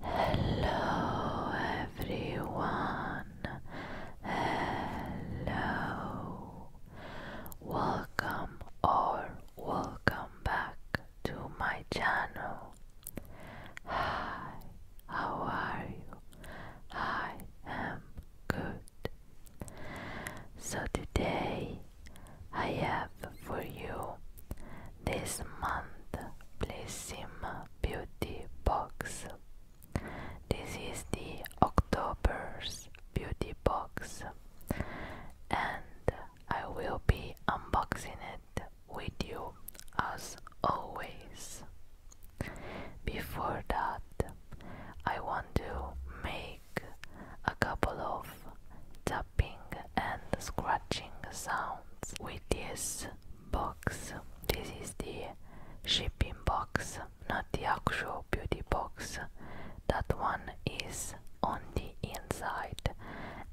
Hello everyone. Hello. Welcome or welcome back to my channel. Hi. How are you? I am good. So today I have for you this month Blissim Beauty Box. This is the October's Beauty Box, and I will be unboxing it with you as always. Before that, I want to make a couple of tapping and scratching sounds with this box. This is the shipping box, not the actual beauty box. That one is on the inside,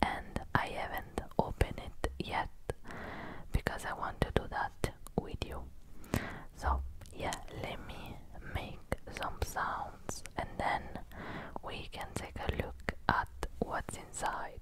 and I haven't opened it yet because I want to do that with you. So, yeah, let me make some sounds and then we can take a look at what's inside.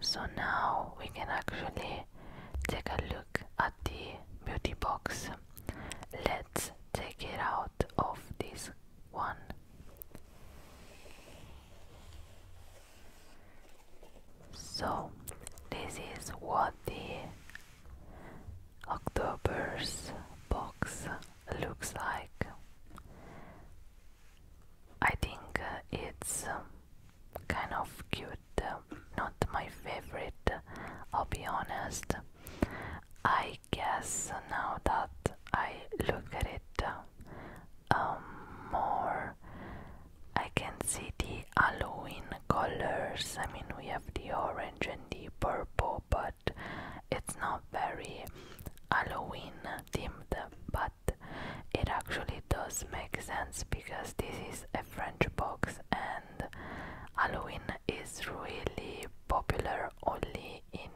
So now we can actually take a look at the beauty box. Let's take it out of this one. So, this is what the October's box looks like. I think uh, it's um, kind of cute, um, not my favorite, I'll be honest. I guess now that I look at it um, more, I can see the Halloween colors. I mean, we have the orange and the purple, but it's not very Halloween themed, but it actually does make sense because this is a French box and Halloween is really popular only in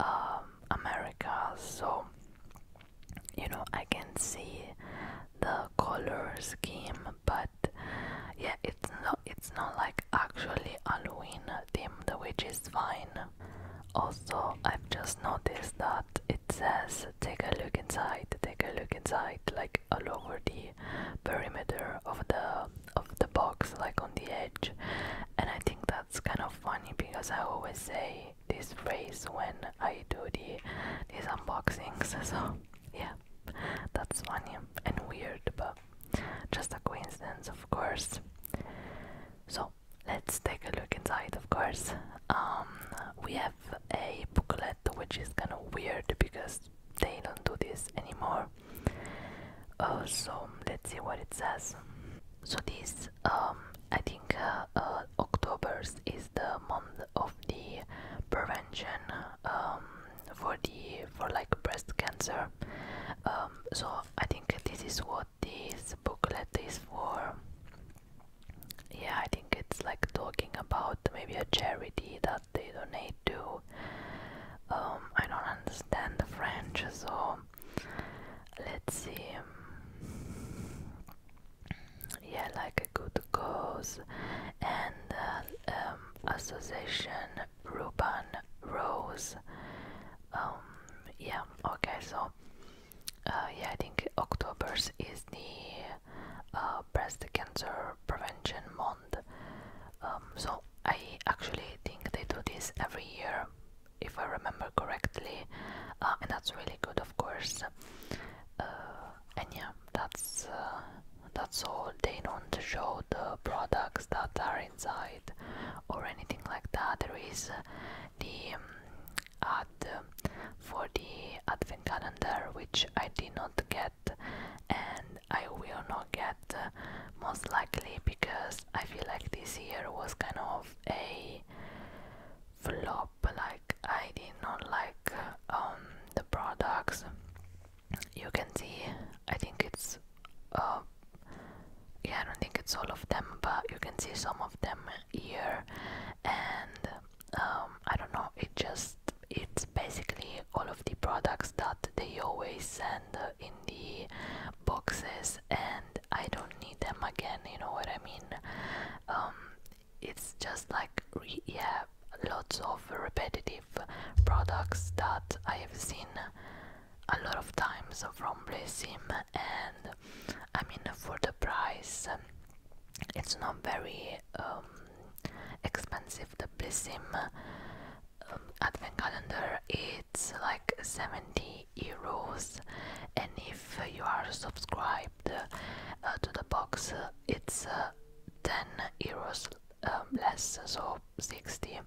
um, America, so you know, I can see the color scheme, but yeah it's not it's not like actually Halloween themed which is fine also I've just noticed that it says take a look inside take a look inside like all over the perimeter of the of the box like on the edge and I think that's kind of funny because I always say this phrase when I do the these unboxings so yeah, that's funny and weird, but just a coincidence, of course. So let's take a look inside, of course. Um, we have a booklet which is kind of weird because they don't do this anymore. Uh, so let's see what it says. So this, um, I think, uh, uh, October's is the month of the prevention um, for the for like breast cancer. Um, so I think this is what this booklet is for. Yeah, I think it's like talking about maybe a charity that they donate to. Um, I don't understand the French, so let's see yeah like a good cause and uh, um, association Ruban Rose um, yeah okay so uh, yeah I think October's is the uh, breast cancer prevention month um, so I actually think they do this every year if I remember correctly and that's really good of course and yeah, that's uh, that's all. They don't show the products that are inside or anything like that. There is uh, the um, ad um, for the advent calendar, which I did not get, and I will not get uh, most likely because I feel like this year was kind of a flop. Like I did not like um, the products. You can see, I think it's, uh, yeah, I don't think it's all of them, but you can see some of them here, and um, I don't know, it just, it's basically all of the products that they always send in the boxes, and I don't need them again, you know what I mean? Um, it's just like yeah lots of repetitive products that I have seen a lot of times from Blessim and I mean for the price um, it's not very um, expensive the Blessim um, advent calendar it's like 70 euros and if you are subscribed uh, to the box uh, it's uh, 10 euros um, less, so 60.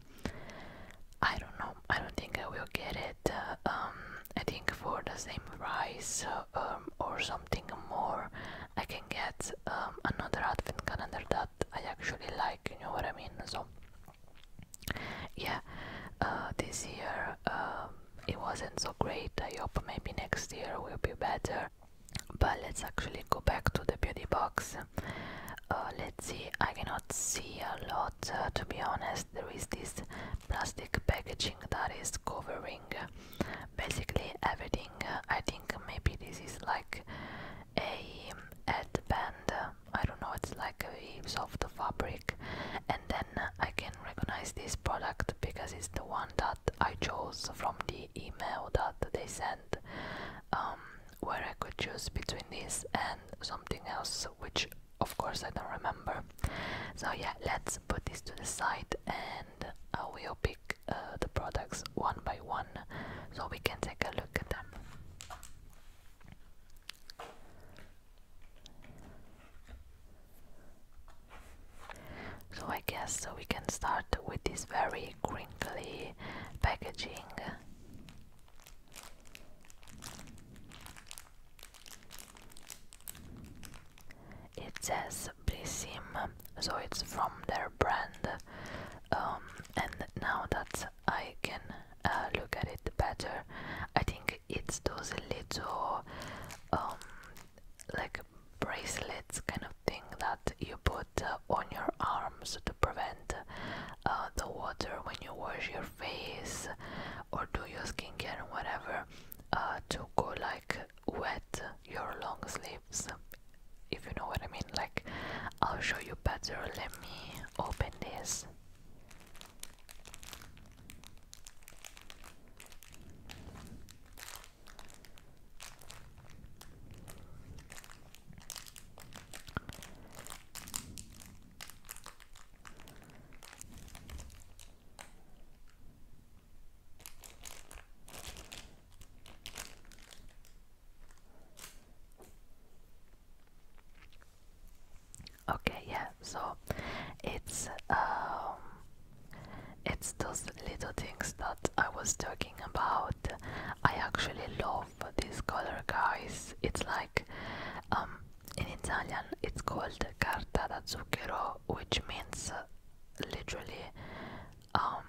I don't know, I don't think I will get it. Uh, um, I think for the same price um, or something more, I can get um, another advent calendar that I actually like, you know what I mean? So, yeah, uh, this year it wasn't so great. I hope maybe next year will be better but let's actually go back to the beauty box uh, let's see i cannot see a lot uh, to be honest there is this plastic packaging that is covering uh, basically everything i think maybe this is like a headband uh, i don't know it's like soft fabric and then i can recognize this product because it's the one that I chose from the email that they sent, um, where I could choose between this and something else, which of course I don't remember. So, yeah, let's put this to the side and I will pick uh, the products one by one so we can take a look at them. So I guess we can start with this very crinkly packaging. It says Blissim, so it's from their brand. Um, and now that I can uh, look at it better, I think it's those little, um, like bracelets kind of thing that you put uh, on your arms to prevent uh, the water when you wash your face or do your skincare or whatever uh, to go like wet your long sleeves if you know what I mean like I'll show you better let me open this Okay, yeah, so it's um it's those little things that I was talking about. I actually love these color guys. It's like um, in Italian it's called carta da zucchero, which means uh, literally um,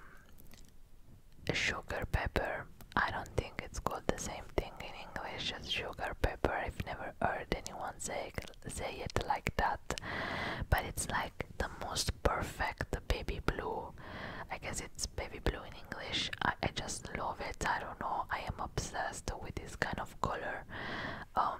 sugar pepper. I don't think it's called the same thing in English as sugar pepper. I've never heard anyone say say it like that, but it's like the most perfect baby blue. I guess it's baby blue in English. I, just love it. I don't know. I am obsessed with this kind of color. Um,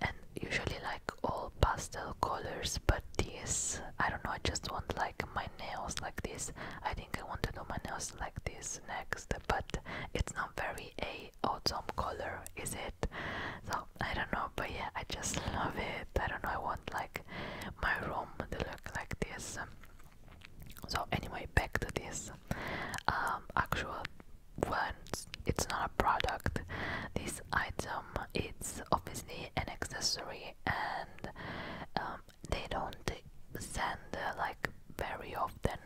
and usually like all pastel colors, but this I don't know. I just want like my nails like this. I think I want to do my nails like this next, but it's not very a autumn color, is it? So I don't know, but yeah, I just love it. I don't know, I want like my room to look like this. So anyway, back to this um, actual one. It's not a product. This item, it's obviously an accessory, and um, they don't send uh, like very often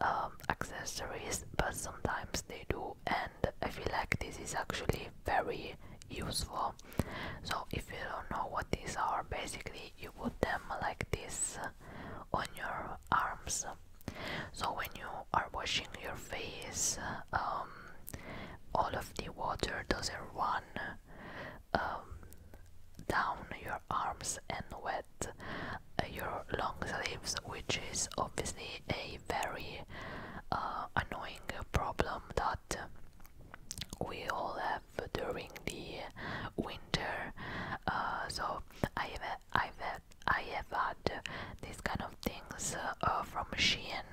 um, accessories, but sometimes they do and I feel like this is actually very useful so if you don't know what these are basically you put them like this on your arms so when you are washing your face um, all of the water doesn't run um, down your arms and wet uh, your long sleeves which is obviously a very uh, annoying problem that we all have during the winter. Uh, so I have, I've I have had these kind of things uh, from Shein,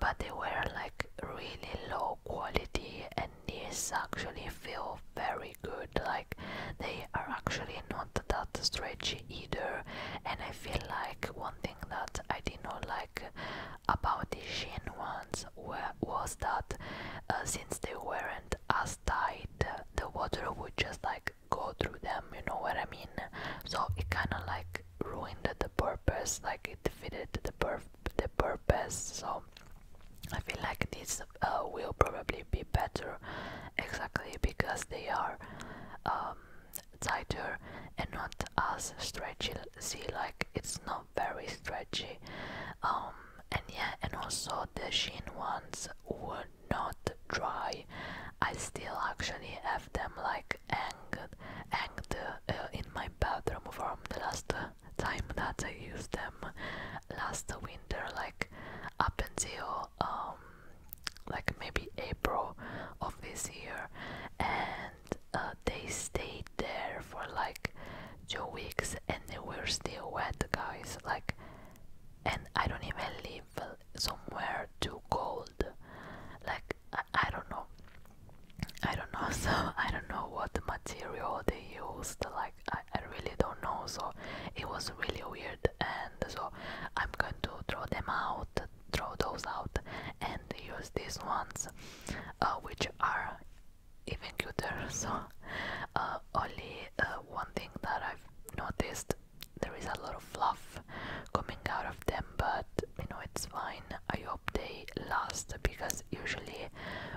but they were like really low quality, and these actually feel very good. Like they are actually not that stretchy either, and I feel like one thing that I did not like about the Shin ones was that uh, since they weren't as tight, the water would just like go through them, you know what I mean? So it kind of like ruined the purpose, like it defeated the, pur the purpose. So I feel like these uh, will probably be better exactly because they are. Um, tighter and not as stretchy see like it's not very stretchy um, and yeah and also the sheen ones were not dry i still actually have them like hanged hanged uh, in my bedroom from the last time that i used them last winter like up until um, like maybe april of this year and uh, they stayed there for like two weeks and they were still wet, guys. Like, and I don't even live somewhere too cold. Like, I, I don't know. I don't know. So I don't know what material they used. Like, I, I really don't know. So it was really weird, and so I'm going to throw them out throw those out and use these ones uh, which are even cuter so uh, only uh, one thing that I've noticed there is a lot of fluff coming out of them but you know it's fine I hope they last because usually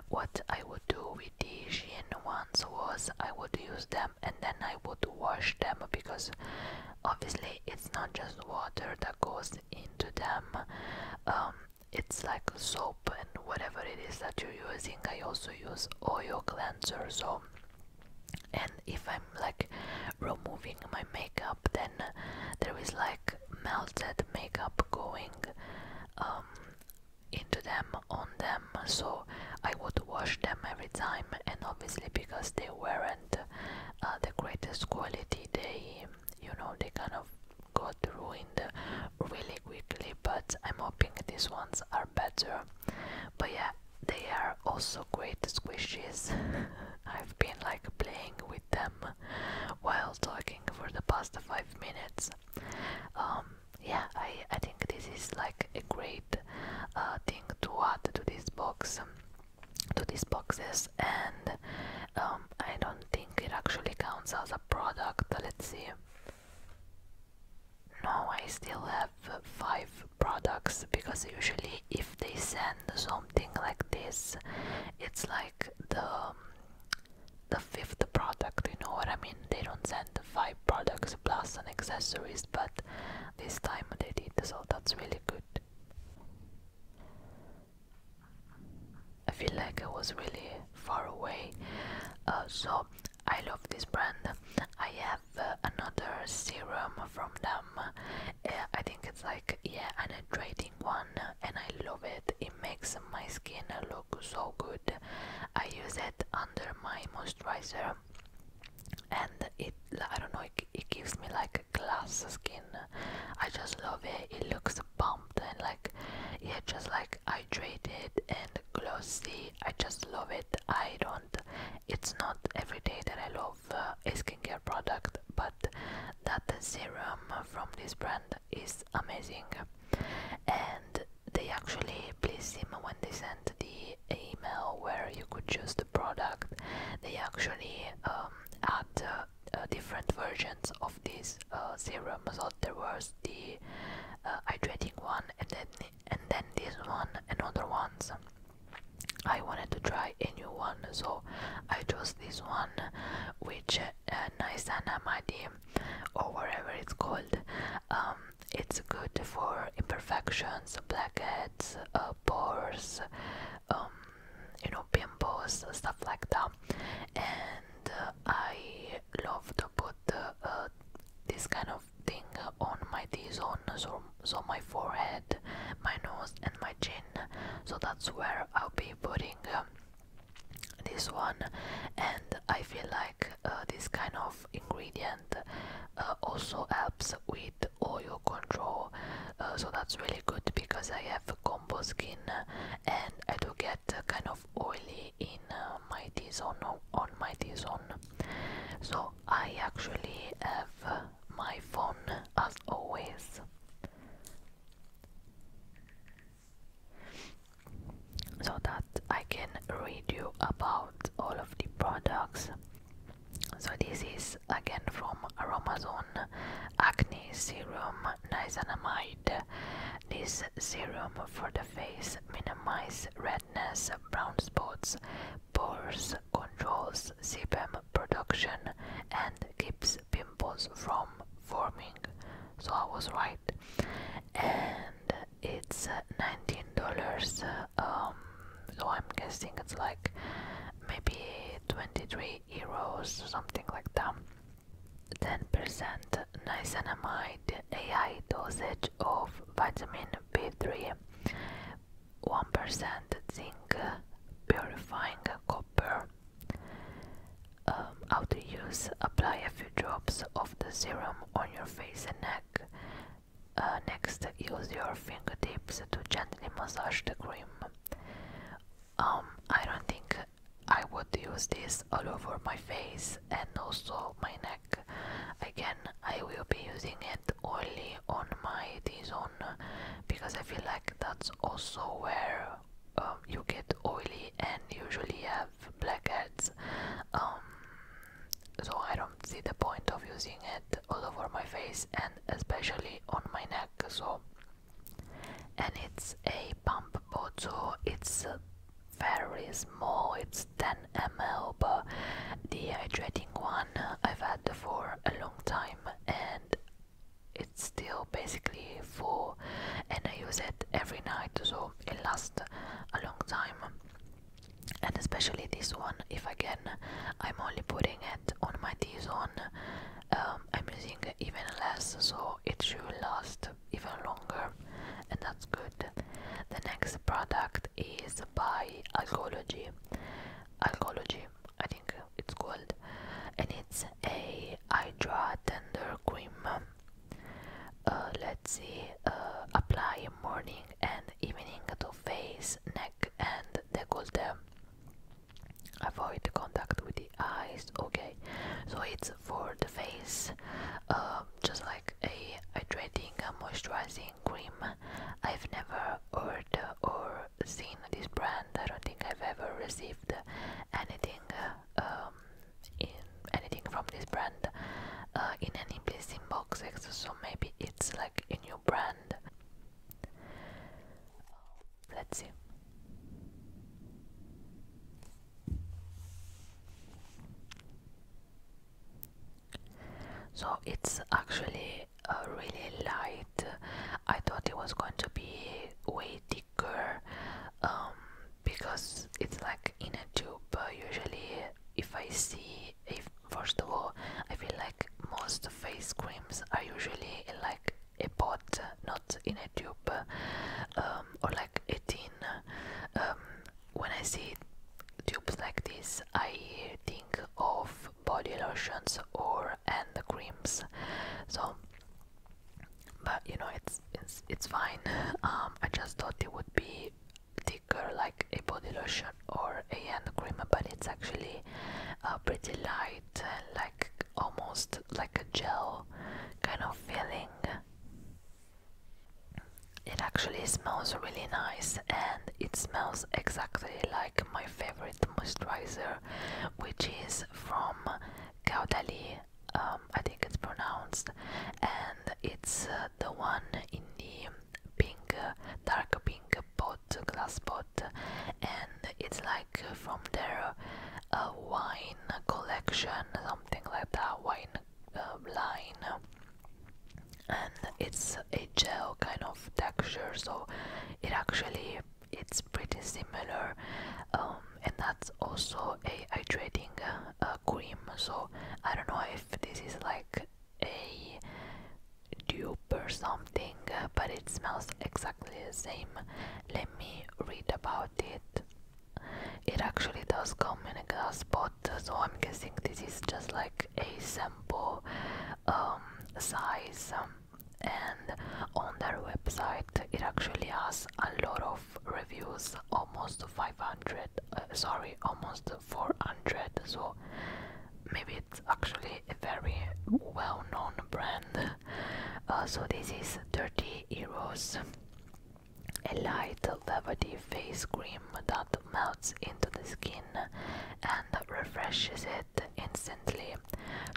what I would do with the Shein ones was I would use them and then I would wash them because obviously it's not just water that goes into them. Um, it's like soap and whatever it is that you're using. I also use oil cleanser, so and if I'm like removing my makeup, then there is like melted makeup going um, into them on them. So I would wash them every time, and obviously because they weren't uh, the greatest quality, they you know they kind of got ruined really quickly but i'm hoping these ones are better but yeah they are also great squishies i've been like playing with them while talking for the past five minutes um, yeah i i think this is like a great uh, thing to add to this box to these boxes and um, I don't think it actually counts as a product. Let's see. No, I still have five products because usually if they send something like this, it's like the the fifth product. You know what I mean? They don't send five products plus an accessories, but this time they did, so that's really good. I feel like I was really far away. Uh, so I love this brand. I have uh, another serum from them. Uh, I think it's like yeah, an hydrating one, and I love it. It makes my skin look so good. I use it under my moisturizer, and it I don't know it, gives me like a glass skin. I just love it. It looks pumped and like yeah, just like hydrated and glossy. I just love it. I don't. It's not every day that I love uh, a skincare product, but that serum from this brand is amazing. And they actually please him when they send the email where you could choose the product. They actually um, add uh, uh, different versions of this uh, serum. So there was the hydrating uh, one, and then and then this one, and other ones. I wanted to try a new one, so I chose this one, which uh, Naisanamadi or whatever it's called. Um, it's good for imperfections, blackheads, pores, um, you know, pimples, stuff like that. And uh, I love to put uh, this kind of thing on my T-zone, so, so my forehead, my nose and my chin. So that's where I'll be putting um, this one. And I feel like uh, this kind of ingredient also helps with oil control. so that's really good because I have combo skin and I do get kind of oily in uh, my T-zone on my T-zone so I actually have my phone as always so that I can read you about all of the products so this is again from Romazone Acne Serum Niacinamide. This serum for the face minimizes redness, brown spots, pores, controls sebum production, and keeps pimples from forming. So I was right. And it's uh, $19. Um, so I'm guessing it's like maybe $23 Eros, something like that. 10% niacinamide, a high dosage of vitamin B3, 1% zinc, purifying copper. Um, after use, apply a few drops of the serum on your face and neck. Uh, next, use your fingertips to gently massage the cream um I don't think I would use this all over my face and also my neck again I will be using it only on my T-zone because I feel like that's also where um, you get oily and usually have blackheads um, so I don't see the point of using it all over my face and especially on my neck so and it's a pump bottle it's uh, very small it's 10 ml but hydrating one uh, i've had for a long time and it's still basically full and i use it every night so it lasts a long time and especially this one if again i'm only putting it on my T-zone um, I'm using even less so it should last even longer and that's good. The next product is by Alcology. Alcology, I think it's called and it's a Hydra Tender Cream. Uh, let's see, uh, apply morning and evening to face, neck and decollete avoid contact with the eyes okay so it's for the face um, just like a hydrating and moisturizing cream i've never heard or seen this brand i don't think i've ever received anything um, in anything from this brand uh, in any blessing boxes so maybe it's like a new brand Let's see. So it's actually uh, really light. I thought it was going to be way thicker um, because it's like in a tube. Usually, if I see, if first of all, I feel like most face creams are usually like a pot, not in a tube, um, or like a tin. Um, when I see tubes like this, I think of body lotions or and creams. So, but you know, it's it's fine. Um, I just thought it would be thicker, like a body lotion or a hand cream, but it's actually uh, pretty light, like almost like a gel kind of feeling. It actually smells really nice and it smells exactly like my favorite moisturizer, which is from Caudalie. Um, I think it's pronounced, and it's uh, the one in the pink, uh, dark pink pot, glass pot and it's like uh, from their uh, wine collection something like that wine uh, line and it's a gel kind of texture so it actually it's pretty similar um, and that's also a hydrating uh, cream so I don't know if this is like a dupe or something but it smells exactly same. Let me read about it. It actually does come in a glass spot, so I'm guessing this is just like a sample um, size. Um, and on their website, it actually has a lot of reviews, almost 500. Uh, sorry, almost 400. So maybe it's actually a very well-known brand uh, so this is 30 Eros, a light velvety face cream that melts into the skin and refreshes it instantly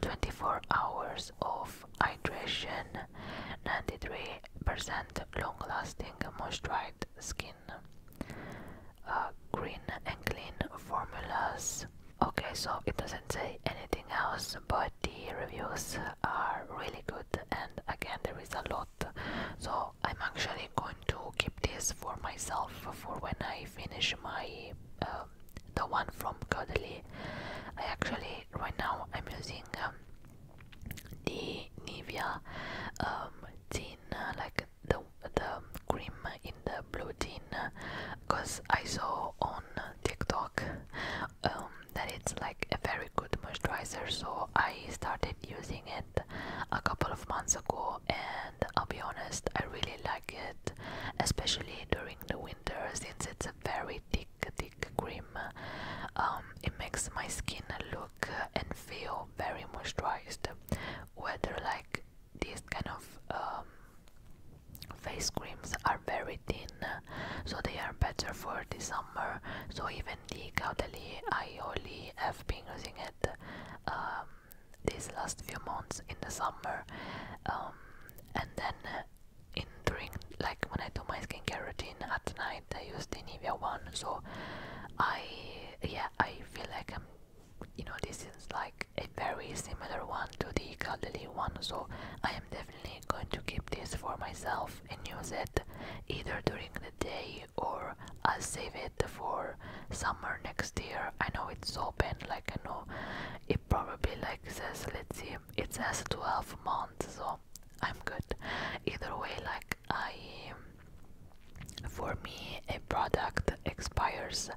24 hours of hydration 93% long lasting moisturized skin uh, green and clean formulas okay so it doesn't say anything else but the reviews are really good and again there is a lot so i'm actually going to keep this for myself for when i finish my um, the one from Godly. i actually right now i'm using um, the nivea um uh, like the the cream in the blue tin uh, because I saw on TikTok um, that it's like a very good moisturizer, so I started using it a couple of months ago, and I'll be honest, I really like it, especially during the winter since it's a very thick, thick cream. Um, it makes my skin look and feel very moisturized, whether like this kind of um, Face creams are very thin, so they are better for the summer. So even the Caudalie, I only have been using it um, these last few months in the summer, um, and then in during like when I do my skincare routine at night, I use the Nivea one. So I yeah I feel like I'm you know this is like a very similar one to the Caudalie one. So I am definitely definitely going to keep this for myself and use it either during the day or I'll save it for summer next year. I know it's open, like I know it probably like says let's see it says 12 months so I'm good. Either way like I um, for me a product expires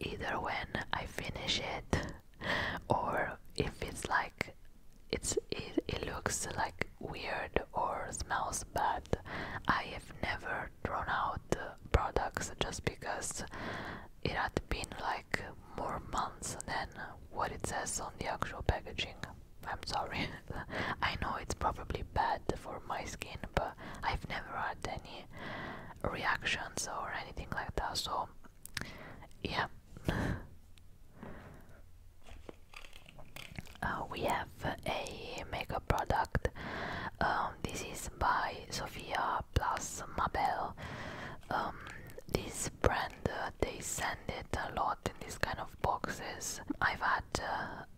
either when I finish it or if it's like it's it, it looks like weird or smells bad i have never thrown out products just because it had been like more months than what it says on the actual packaging i'm sorry i know it's probably bad for my skin but i've never had any reactions or anything like that so yeah. Uh, we have a makeup product. Um, this is by Sofia plus Mabel. Um, this brand uh, they send it a lot in these kind of boxes. I've had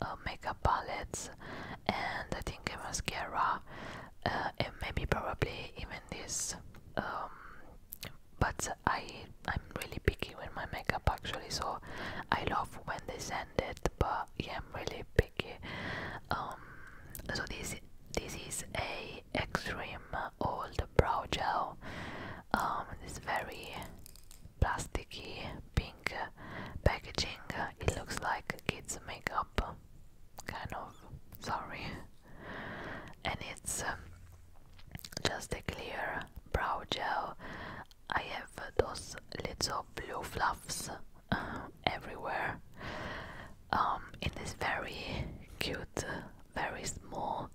uh, makeup palettes and I think a mascara and maybe probably even this um, but I I'm really picky with my makeup actually, so I love when they send it. But I'm really picky. Um, so this this is a extreme old brow gel. Um, this very plasticky pink packaging. It looks like kids makeup, kind of. Sorry and it's um, just a clear brow gel. I have those little blue fluffs uh, everywhere. Um, in this very cute, very small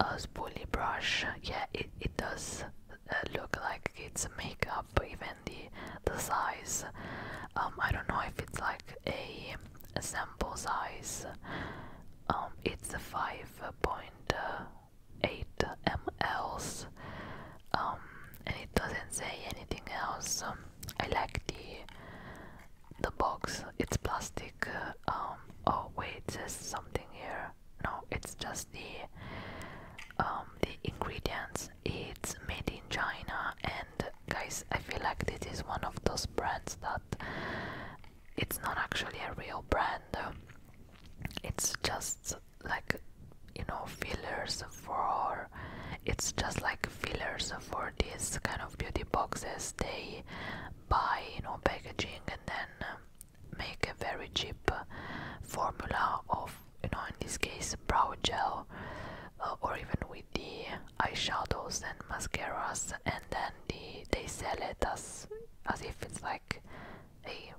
uh, spoolie brush, yeah, it, it does uh, look like it's makeup, even the the size. Um, I don't know if it's like a sample size um, it's 5.8 mls um, and it doesn't say anything else um, I like the the box it's plastic um, oh wait there's something here no it's just the um, the ingredients it's made in China and guys I feel like this is one of those brands that it's not actually a real brand. It's just like you know fillers for it's just like fillers for this kind of beauty boxes they buy you know packaging and then um, make a very cheap uh, formula of you know in this case brow gel uh, or even with the eyeshadows and mascaras and then the, they sell it as as if it's like a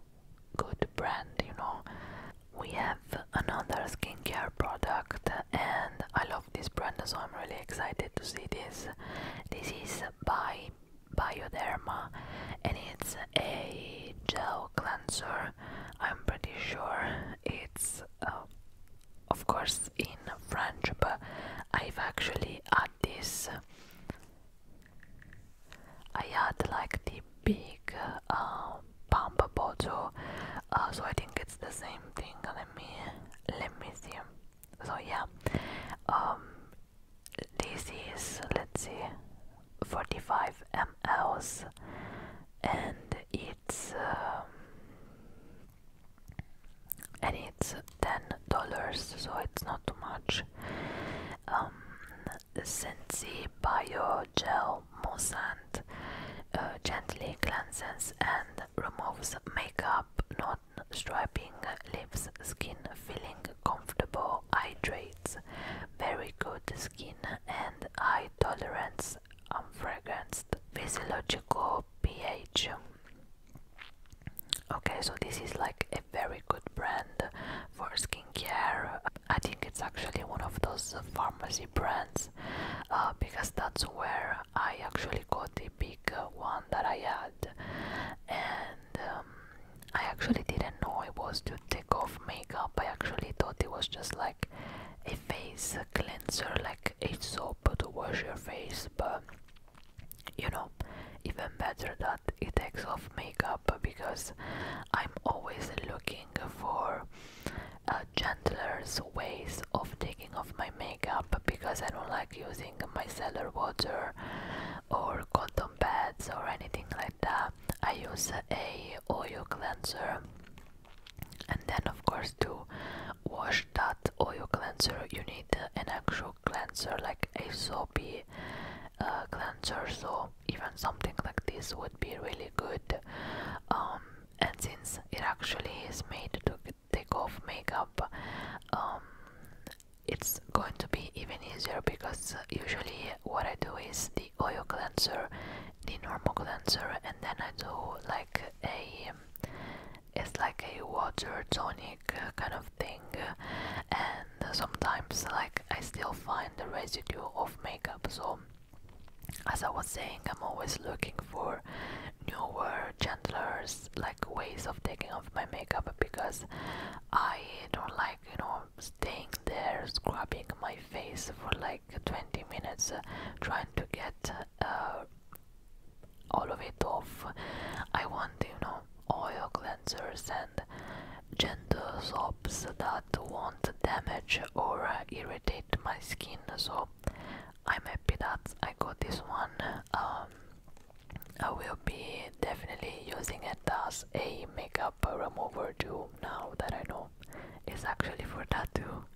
good brand, you know. We have another skincare product and I love this brand so I'm really excited to see this. This is by Bioderma and it's a gel cleanser. I'm pretty sure it's uh, of course in French, but I've actually had this. I had like the big uh, pump bottle, uh, so I think it's the same thing. Let me let me see. So yeah, um, this is let's see, 45 mLs, and it's um, and it's ten dollars, so it's not too much. Um, Bio Gel Moussant uh, gently cleanses and removes makeup, not striping, leaves skin feeling comfortable, hydrates, very good skin and eye tolerance, unfragranced, um, physiological pH. Okay, so this is like a very good brand for skincare. I think it's actually one of those pharmacy brands uh, because that's where I actually got the big one that I had, and um, I actually didn't know it was to take off makeup. I actually thought it was just like a face cleanser, like like a soap to wash your face, but you know, even better that it takes off makeup because I'm always looking for uh, gentler ways of taking off my makeup because I don't like using micellar water or cotton pads or anything like that. I use a oil cleanser and then of course to wash that oil cleanser you need an actual cleanser like a soapy uh, cleanser so even something like this would be really good um, and since it actually is made to take off makeup um, it's going to be even easier because usually what I do is the oil cleanser, the normal cleanser, and then I do like a it's like a water tonic uh, kind of thing and sometimes like I still find the residue of makeup so as I was saying I'm always looking for newer gentler like ways of taking off my makeup because I don't like you know staying there scrubbing my face for like 20 minutes uh, trying to get uh, all of it off. I want, you know, oil cleansers and gentle soaps that won't damage or irritate my skin. So I'm happy that I got this one. Um, I will be definitely using it as a makeup remover too now that I know it's actually for that too.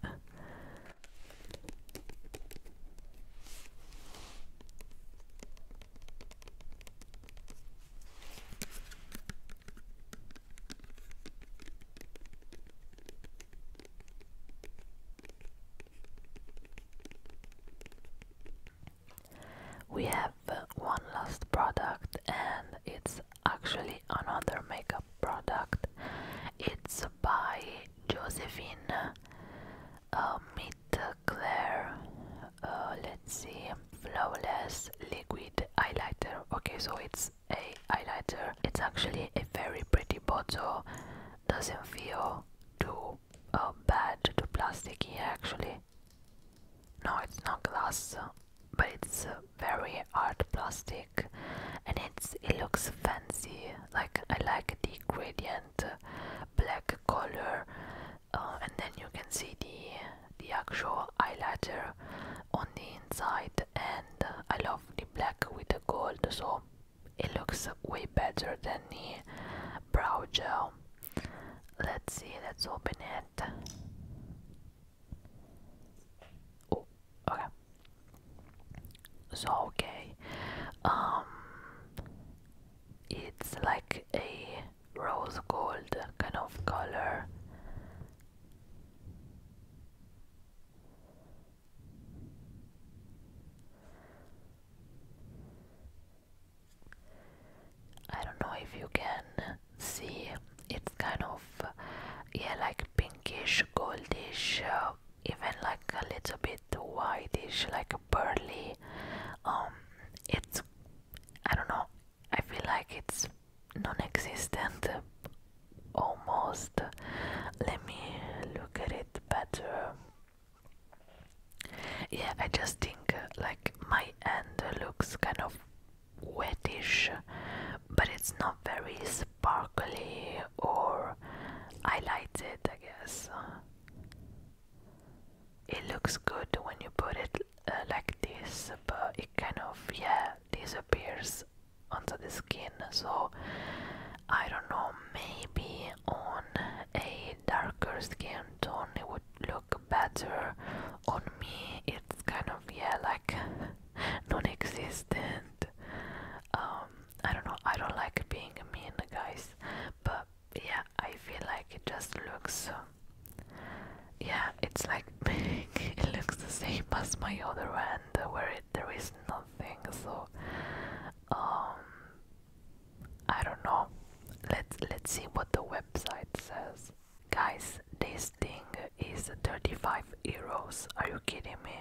We have uh, one last product, and it's actually another makeup product. It's by Josephine um, uh, meet Claire. let's see, flawless liquid highlighter. Okay, so it's a highlighter. It's actually a very pretty bottle. Doesn't feel too uh, bad, too plasticky actually. No, it's not glass, but it's uh, very hard plastic, and it's it looks fancy. Like I like the gradient black color uh, and then you can see the the actual eyeliner on the inside and uh, I love the black with the gold so it looks way better than the brow gel let's see let's open it oh okay so okay um it's like a rose gold kind of color I don't know if you can see it's kind of yeah like pinkish goldish uh, even like a little bit whitish like like um, it's I don't know. I feel like it's non-existent, almost. Let me look at it better. Yeah, I just think like my end looks kind of wettish, but it's not very sparkly or highlighted, I guess. It looks good when you put it uh, like this, but it kind of, yeah, disappears under the skin. So, I don't know, maybe on a darker skin tone it would look better. On me, it's kind of, yeah, like non existent. Um, I don't know, I don't like being mean, guys, but yeah, I feel like it just looks. Uh, yeah, it's like it looks the same as my other hand where there is nothing, so um I don't know. Let's let's see what the website says. Guys, this thing is 35 euros. Are you kidding me?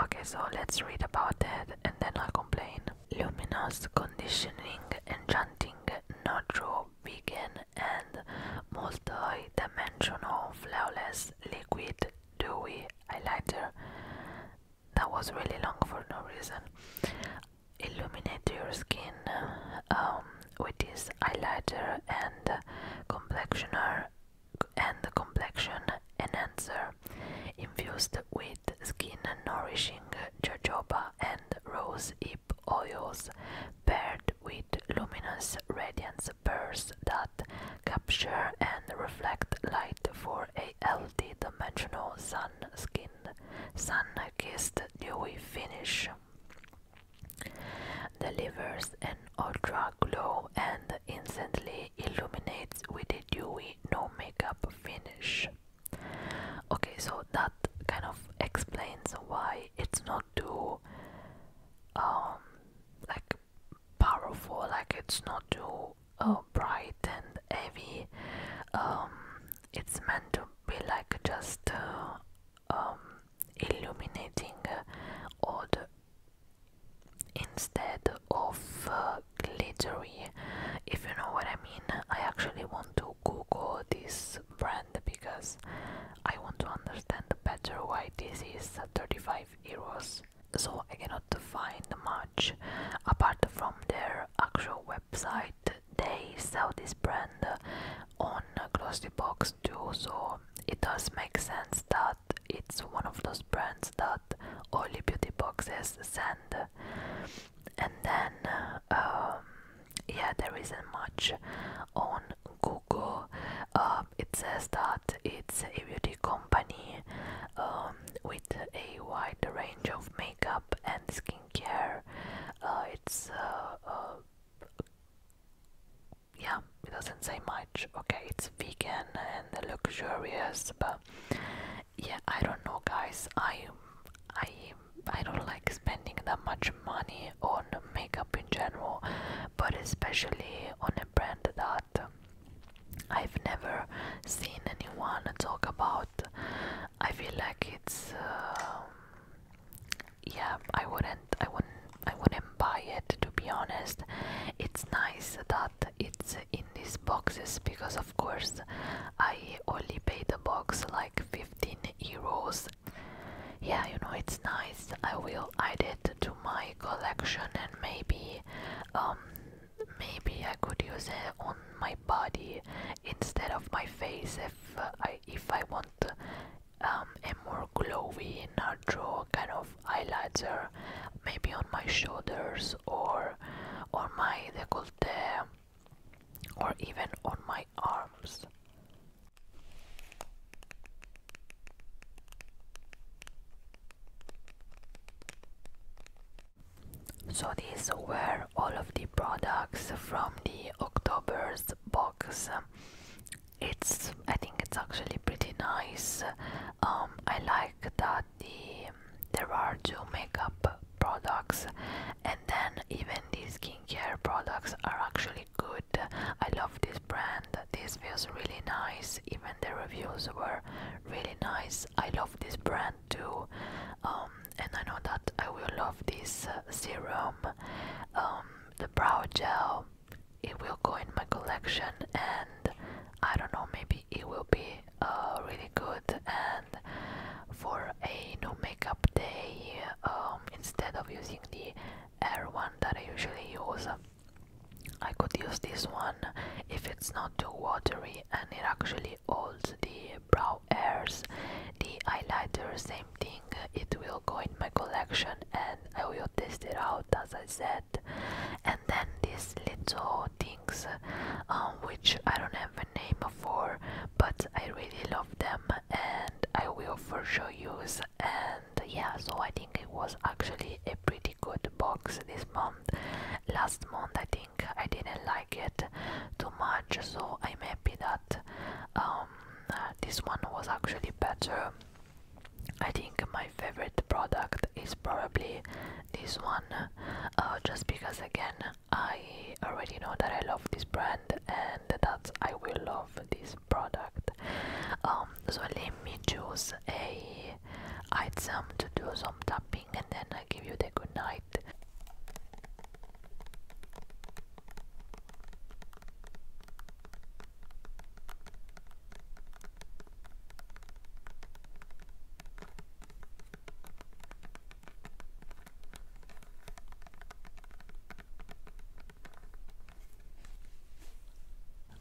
Okay, so let's read about that and then I'll complain. Luminous conditioning, enchanting, natural, vegan, and multidimensional, flawless liquid dewy highlighter. That was really long for no reason. Illuminate your skin um, with this highlighter and complexioner and the complexion enhancer, infused with skin nourishing jojoba and rose hip oils, paired with luminous radiance pearls that capture and reflect light for a healthy dimensional sun skin, sun kissed dewy finish. Delivers an ultra glow and instantly illuminates with a dewy, no finish. Okay, so that kind of explains why it's not too um, like powerful, like it's not too uh, bright and heavy. Um, it's meant to be like just uh, um, illuminating uh, all the instead of uh, glittery if you know what i mean i actually want to google this brand because i want to understand better why this is 35 euros so i cannot find much apart from their actual website they sell this brand on glossy box too so it does make sense that it's one of those brands that only Beauty Boxes sent, and then um, yeah, there isn't much on Google. Um, it says that it's a beauty company um, with a wide range of makeup and skincare. Uh, it's uh, uh, yeah, it doesn't say much. Okay, it's vegan and luxurious, but yeah i don't know guys i i i don't like spending that much money on makeup in general but especially on a brand that i've never seen anyone talk about i feel like it's um, yeah i wouldn't i wouldn't i wouldn't buy it to be honest it's nice that it's in these boxes because of of course I only paid the box like 15 euros yeah you know it's nice I will add it to my collection and maybe um maybe I could use it on my body instead of my face if uh, I if I want um, a more glowy natural kind of eyeliner maybe on my shoulders or on my décolleté or even on my arms. So these were all of the products from the October's box. It's I think it's actually pretty nice. Um, I like that the there are two makeup products and then even these skincare products are actually good i love this brand this feels really nice even the reviews were really nice i love this brand too um, and i know that i will love this uh, serum um, the brow gel it will go in my collection and i don't know maybe it will be uh, really good and for a no makeup day um, instead of using the air one that I usually use I could use this one if it's not too watery and it actually holds the brow hairs the highlighter same thing it will go in my collection and I will test it out as I said and then this little um, which I don't have a name for but I really love them and I will for sure use and yeah so I think it was actually a pretty good box this month last month I think I didn't like it too much so I'm happy that um, this one was actually better I think my favorite product up is probably this one uh, just because again I already know that I love this brand and that I will love this product um, so let me choose a item to do some tapping and then I give you the good night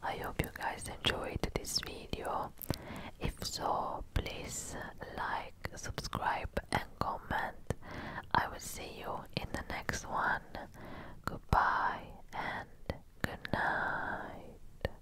I hope you guys enjoyed this video. If so, please like, subscribe, and comment. I will see you in the next one. Goodbye and good